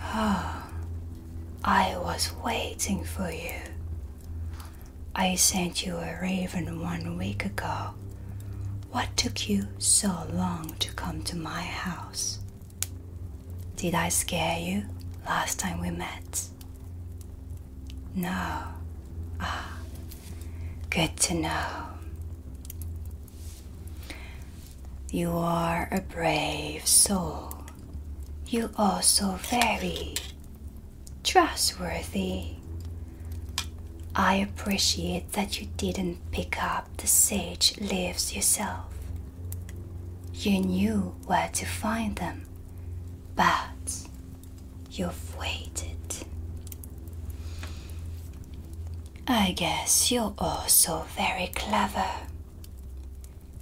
Oh, I was waiting for you. I sent you a raven one week ago. What took you so long to come to my house? Did I scare you last time we met? No. Ah, Good to know. You are a brave soul. You also very trustworthy. I appreciate that you didn't pick up the sage leaves yourself. You knew where to find them, but You've waited. I guess you're also very clever.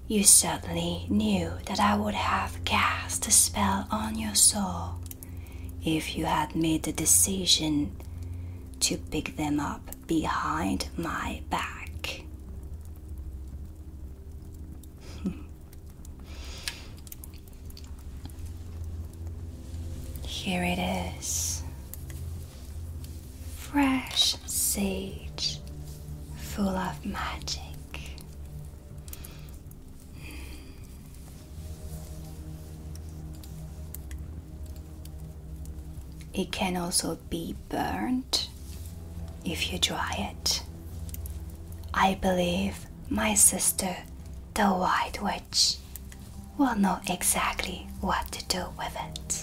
You certainly knew that I would have cast a spell on your soul if you had made the decision to pick them up behind my back. Here it is fresh sage full of magic. It can also be burned if you dry it. I believe my sister, the White Witch, we will know exactly what to do with it.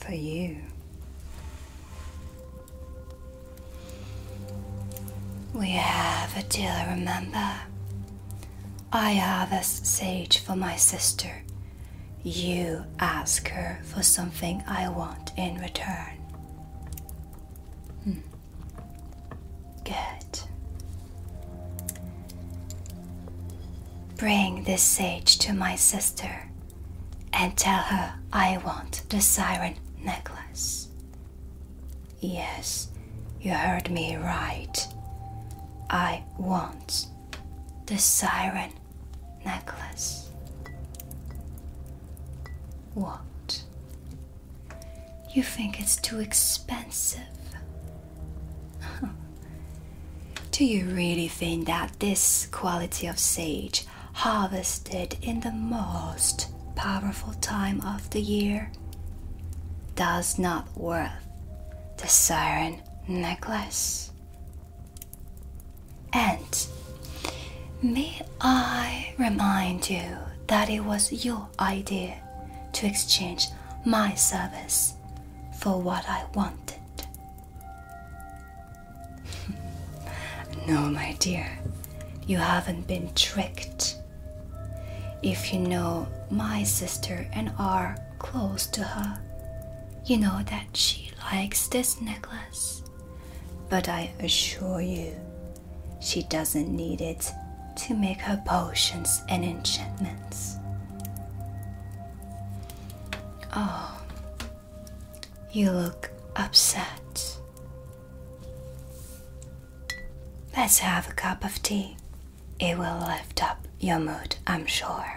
For you. We have a deal, remember? I have a sage for my sister. You ask her for something I want in return. Hmm. Good. Bring this sage to my sister and tell her I want the siren necklace. Yes, you heard me right. I want the siren necklace. What? You think it's too expensive? Do you really think that this quality of sage, harvested in the most powerful time of the year, does not worth the siren necklace? And may I remind you that it was your idea to exchange my service for what I wanted. no, my dear, you haven't been tricked. If you know my sister and are close to her, you know that she likes this necklace. But I assure you, she doesn't need it to make her potions and enchantments. Oh, you look upset. Let's have a cup of tea. It will lift up your mood, I'm sure.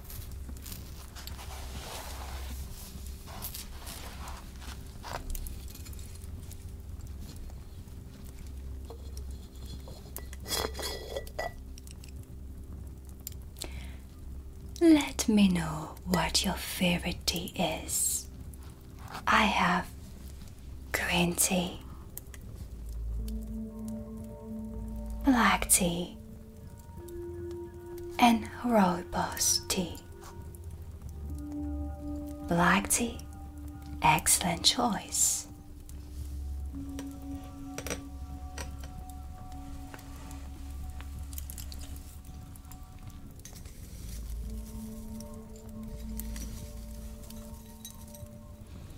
Let me know what your favorite tea is. I have green tea, black tea, and rooibos tea. Black tea, excellent choice.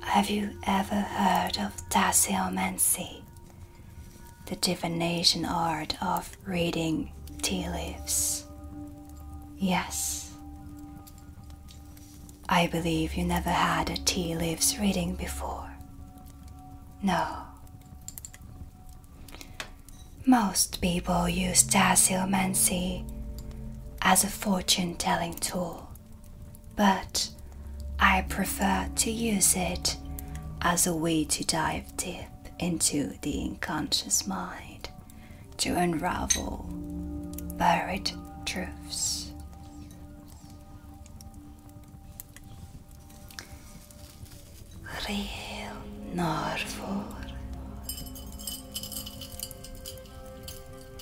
Have you ever heard of tassiomancy? The divination art of reading tea leaves. Yes. I believe you never had a tea leaves reading before. No. Most people use tassiomancy as a fortune telling tool but I prefer to use it as a way to dive deep into the unconscious mind to unravel buried truths. Real Narvor.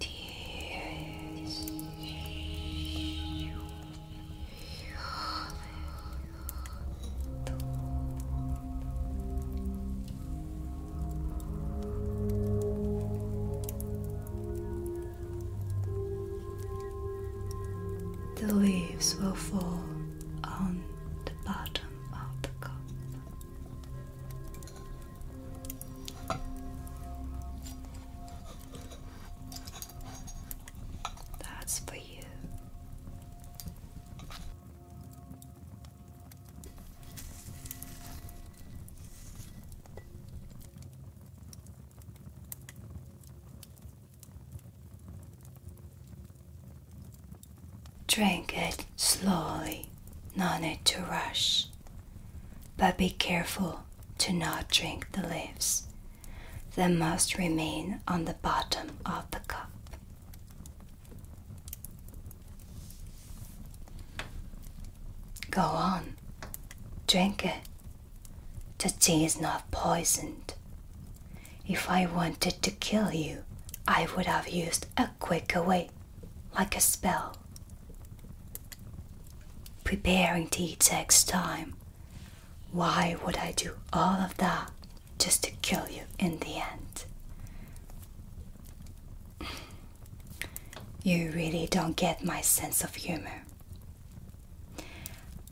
Dear. The leaves will fall on the bottom of the cup. That's for you. Drink it slowly, no need to rush. But be careful to not drink the leaves. They must remain on the bottom of the cup. Go on, drink it. The tea is not poisoned. If I wanted to kill you, I would have used a quicker way, like a spell. Preparing tea next time. Why would I do all of that just to kill you in the end. You really don't get my sense of humor.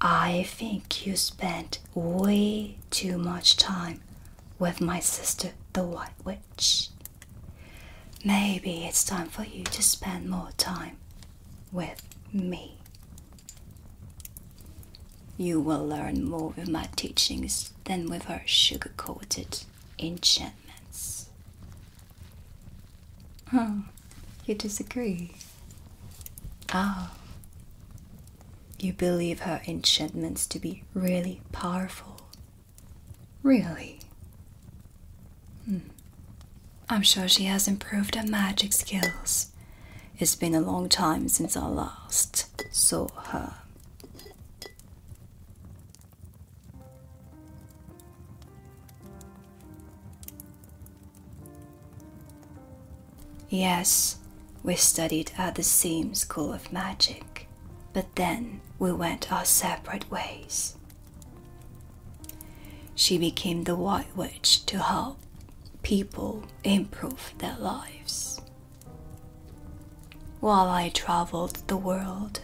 I think you spent way too much time with my sister, the White Witch. Maybe it's time for you to spend more time with me. You will learn more with my teachings than with her sugar coated enchantments. Oh, you disagree? Ah, you believe her enchantments to be really powerful? Really? Hmm. I'm sure she has improved her magic skills it's been a long time since I last saw her. Yes, we studied at the same school of magic, but then we went our separate ways. She became the White Witch to help people improve their lives. While I traveled the world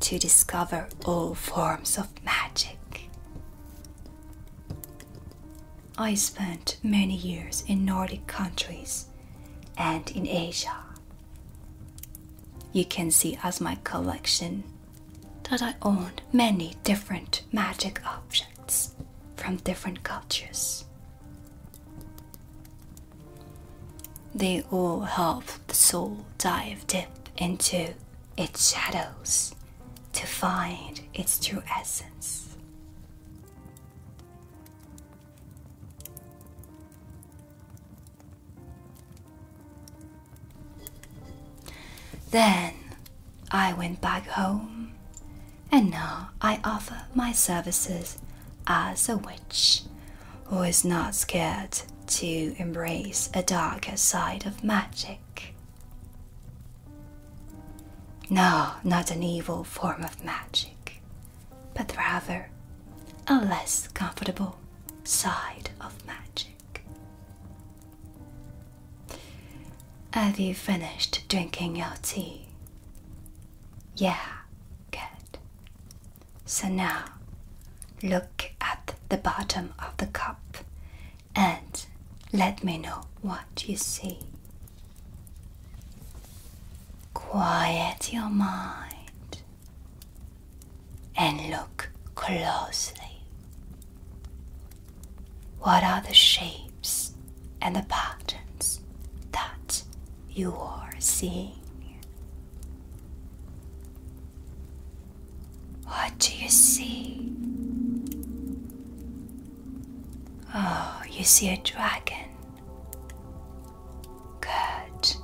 to discover all forms of magic, I spent many years in Nordic countries and in Asia. You can see as my collection that I owned many different magic objects from different cultures. They all help the soul dive deep into its shadows to find its true essence. Then I went back home, and now I offer my services as a witch who is not scared to embrace a darker side of magic. No, not an evil form of magic, but rather a less comfortable side of magic. Have you finished drinking your tea? Yeah, good. So now look at the bottom of the cup and let me know what you see. Quiet your mind and look closely. What are the shapes and the patterns that you are seeing? What do you see? Oh, you see a dragon. Good.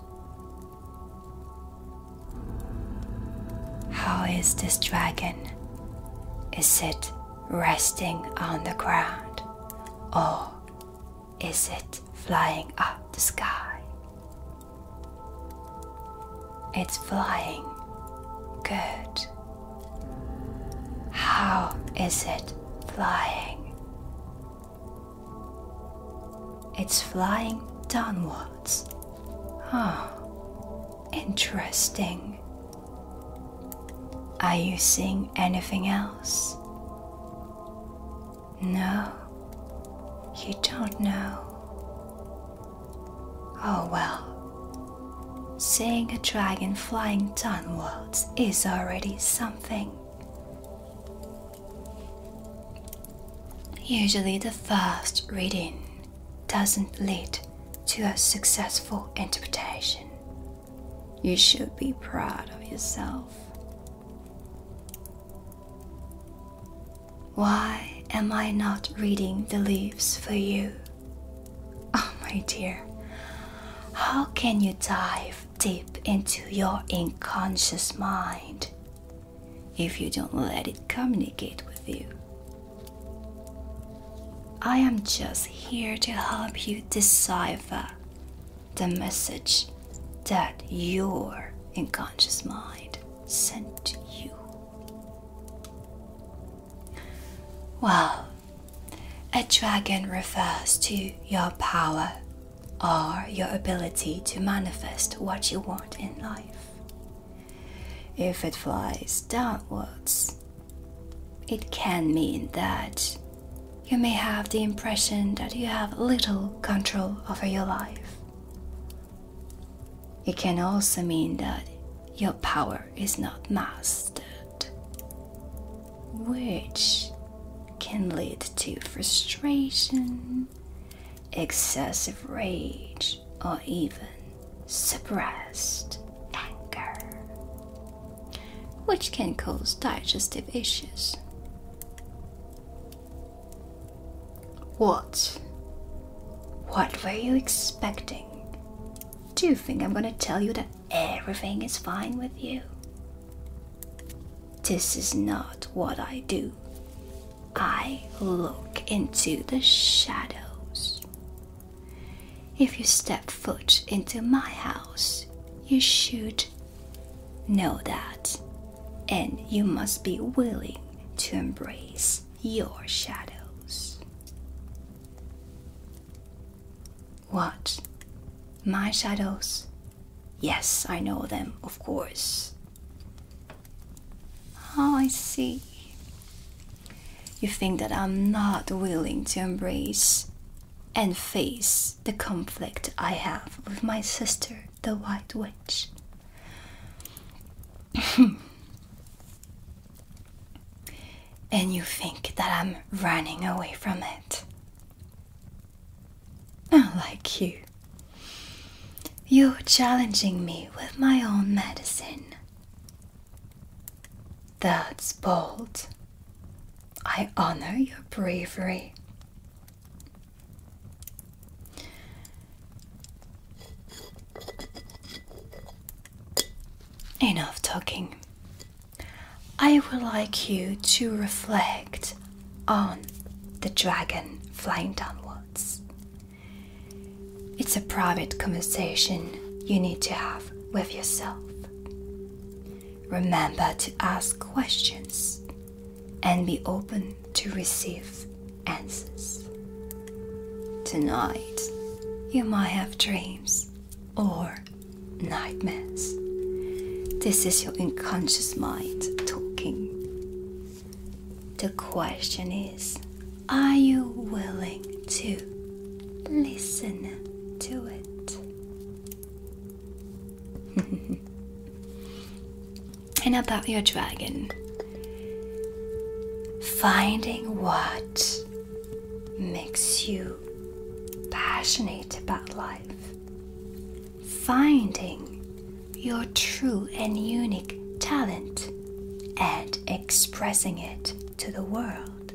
How is this dragon is it resting on the ground or is it flying up the sky? It's flying. Good. How is it flying? It's flying downwards. Huh. Interesting. Are you seeing anything else? No, you don't know. Oh well, seeing a dragon flying downwards is already something. Usually, the first reading doesn't lead to a successful interpretation. You should be proud of yourself. Why am I not reading the leaves for you? Oh, my dear, how can you dive deep into your unconscious mind if you don't let it communicate with you? I am just here to help you decipher the message that your unconscious mind sent to you. Well, a dragon refers to your power or your ability to manifest what you want in life. If it flies downwards, it can mean that you may have the impression that you have little control over your life. It can also mean that your power is not mastered, which can lead to frustration, excessive rage, or even suppressed anger, which can cause digestive issues. What? What were you expecting? Do you think I'm gonna tell you that everything is fine with you? This is not what I do. I look into the shadows. If you step foot into my house, you should know that, and you must be willing to embrace your shadows. What? My shadows? Yes, I know them, of course. Oh, I see. You think that I'm not willing to embrace and face the conflict I have with my sister, the White Witch. and you think that I'm running away from it. Not like you. You are challenging me with my own medicine. That's bold. I honor your bravery. Enough talking. I would like you to reflect on the dragon flying downwards it's a private conversation you need to have with yourself. Remember to ask questions and be open to receive answers. Tonight, you might have dreams or nightmares. This is your unconscious mind talking. The question is are you willing to listen to it? and about your dragon. Finding what makes you passionate about life. Finding your true and unique talent and expressing it to the world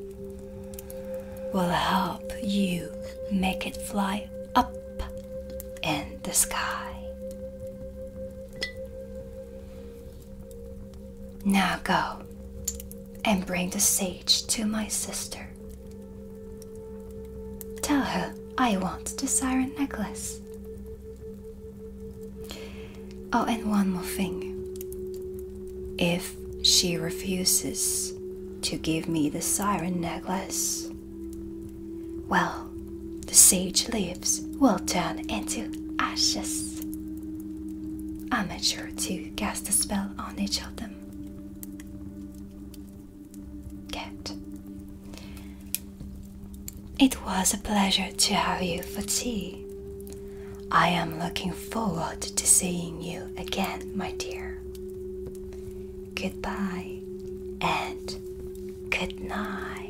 will help you make it fly up in the sky. Now go and bring the sage to my sister. Tell her I want the siren necklace Oh, and one more thing. If she refuses to give me the siren necklace, well, the sage leaves will turn into ashes. I am sure to cast a spell on each of them. Good. It was a pleasure to have you for tea. I am looking forward to seeing you again, my dear. Goodbye and good night.